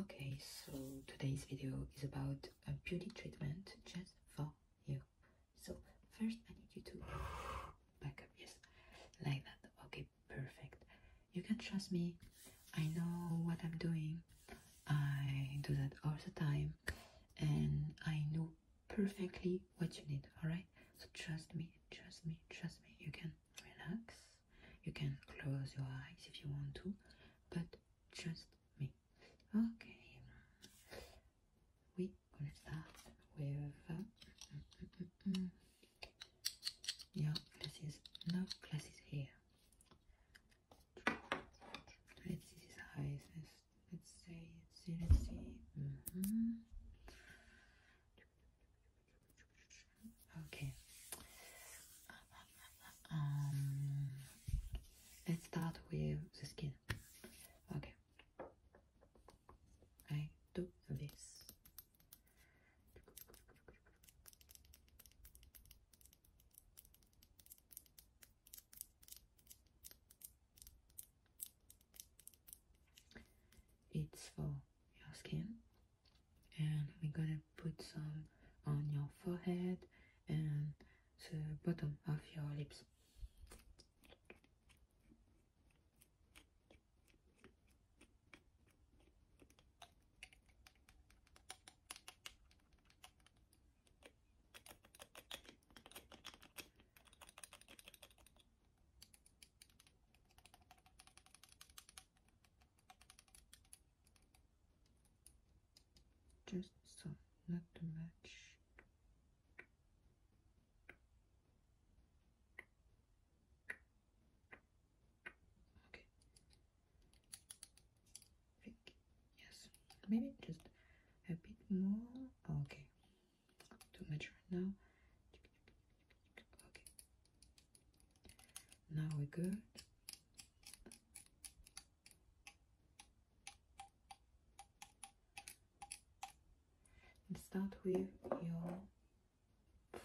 Okay, so today's video is about a beauty treatment just for you. So first I need you to back up, yes, like that. Okay, perfect. You can trust me. I know what I'm doing. I do that all the time and I know perfectly what you need, alright? So trust me, trust me, trust me. You can relax. You can close your eyes if you want to, but trust me. Okay, we're gonna start with. Uh, glasses. Mm, mm, mm, no glasses here. Let's see his eyes. Let's, let's see. Let's see. Let's see. Mm-hmm. Okay. Um, let's start with the skin. Okay. I do this. It's for your skin and we're gonna put some on your forehead and the bottom of your lips just so, not too much. Okay. Think. Yes. Maybe just a bit more. Okay too much right now. Okay, now we're good. start with your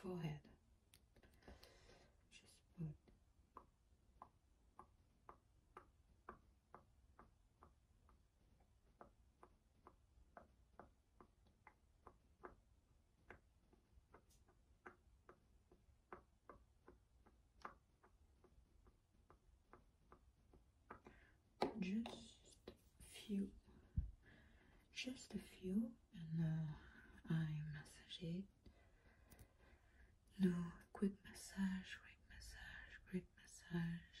forehead. Just put just few just a few and uh, I massage it no quick massage quick massage quick massage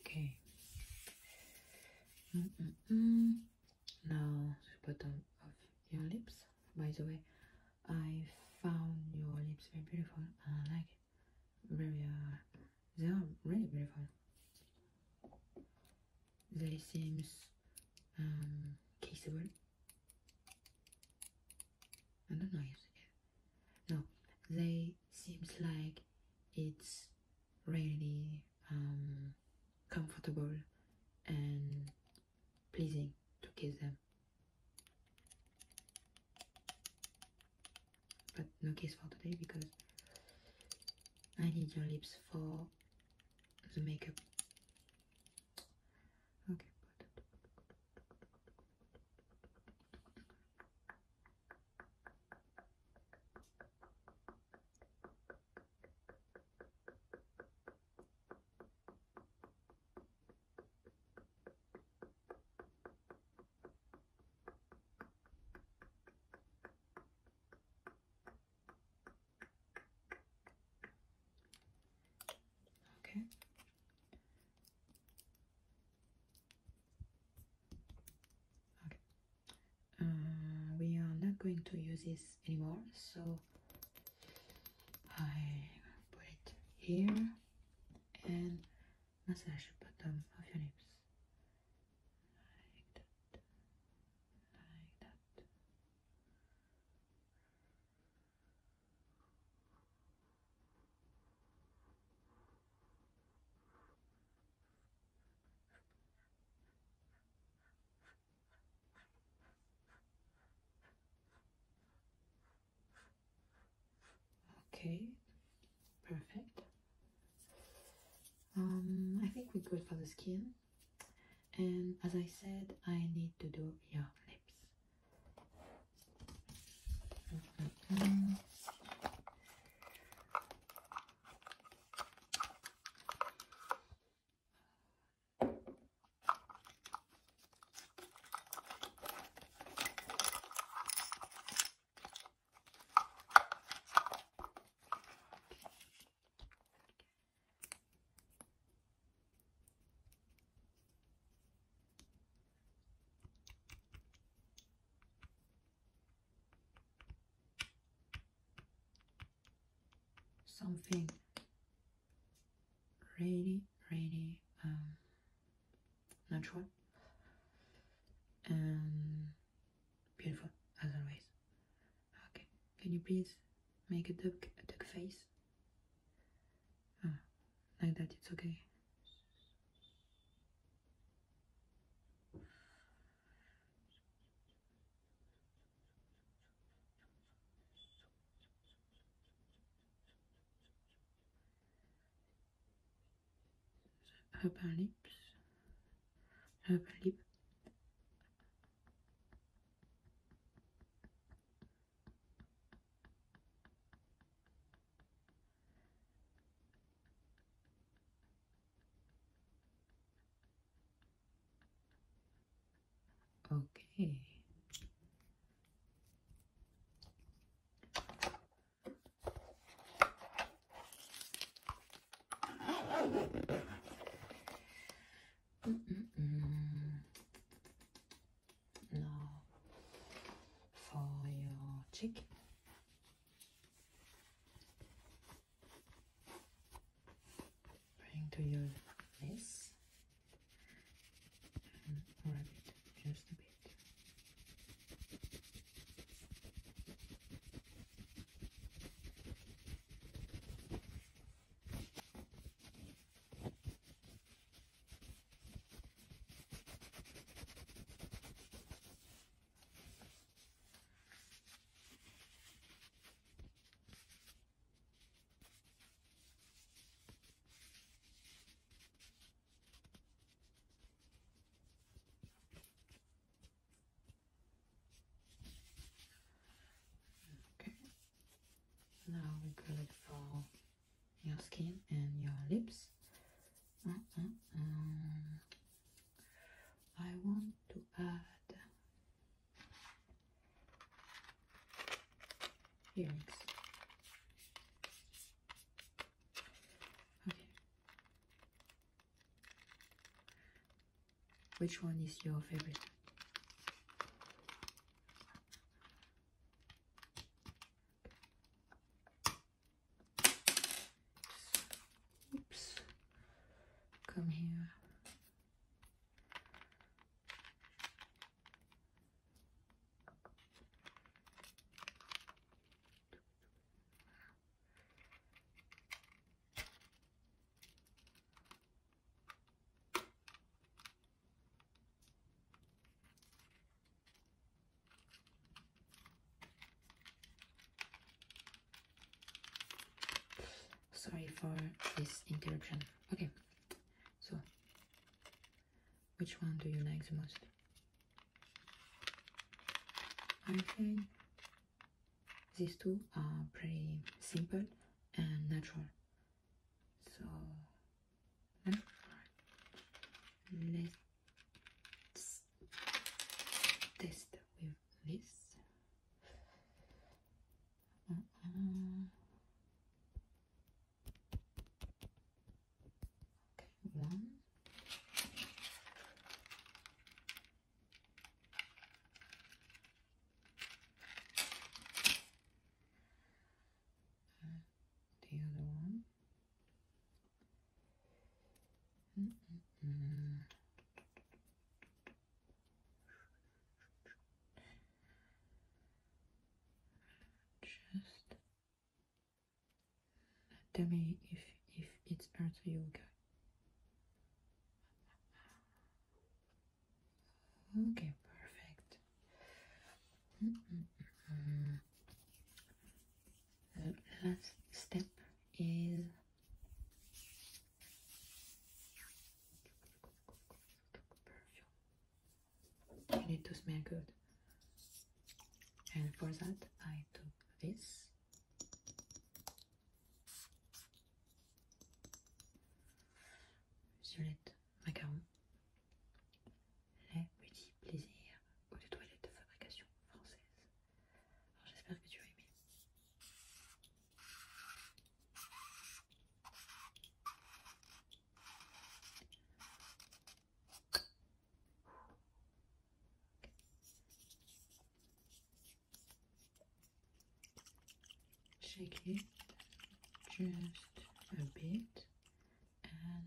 Okay. No, mm, -mm -mm. Now bottom your lips. By the way, I found your lips very beautiful. I like it. Very, uh, they are really beautiful they seems kissable I don't know no they seems like it's really um, comfortable and pleasing to kiss them but no kiss for today because I need your lips for the makeup. Okay. Okay. Okay. Uh, we are not going to use this anymore, so I put it here and massage the bottom of your lips like that like that Okay, perfect. Um, I think we're good for the skin. And as I said, I need to do your lips something really really um, natural and beautiful as always. Okay, can you please make a duck face? Ah, like that, it's okay urban lips urban lip okay Mm -mm -mm. Now for your cheek. Bring to your face and rub it just a bit. Okay, now we go for your skin and your lips. Uh, uh, uh. I want to add earrings. Okay. Which one is your favorite? Oops. Come here. Sorry for this interruption. Okay, so, which one do you like the most? I think these two are pretty simple and natural. So, let's test with this. Mm -mm. Okay, one. the other one. Mm just tell me if if it's hurts you okay. perfect. The last step is perfume. Need to smell good. And for that, I took this. Violette macaron. Les petits plaisirs ou de toilettes de fabrication française. Alors J'espère que tu as aimé. Shake it just a bit and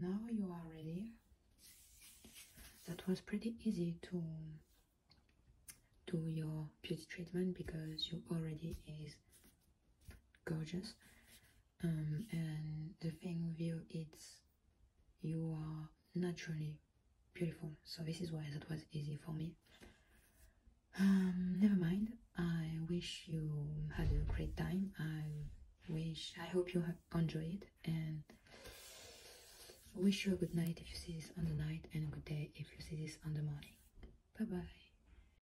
now you are ready. That was pretty easy to do your beauty treatment because you already is gorgeous um, and the thing with you is you are naturally beautiful so this is why that was easy for me um, never mind i wish you had a great time i wish i hope you enjoyed it and wish you a good night if you see this on the night and a good day if you see this on the morning bye bye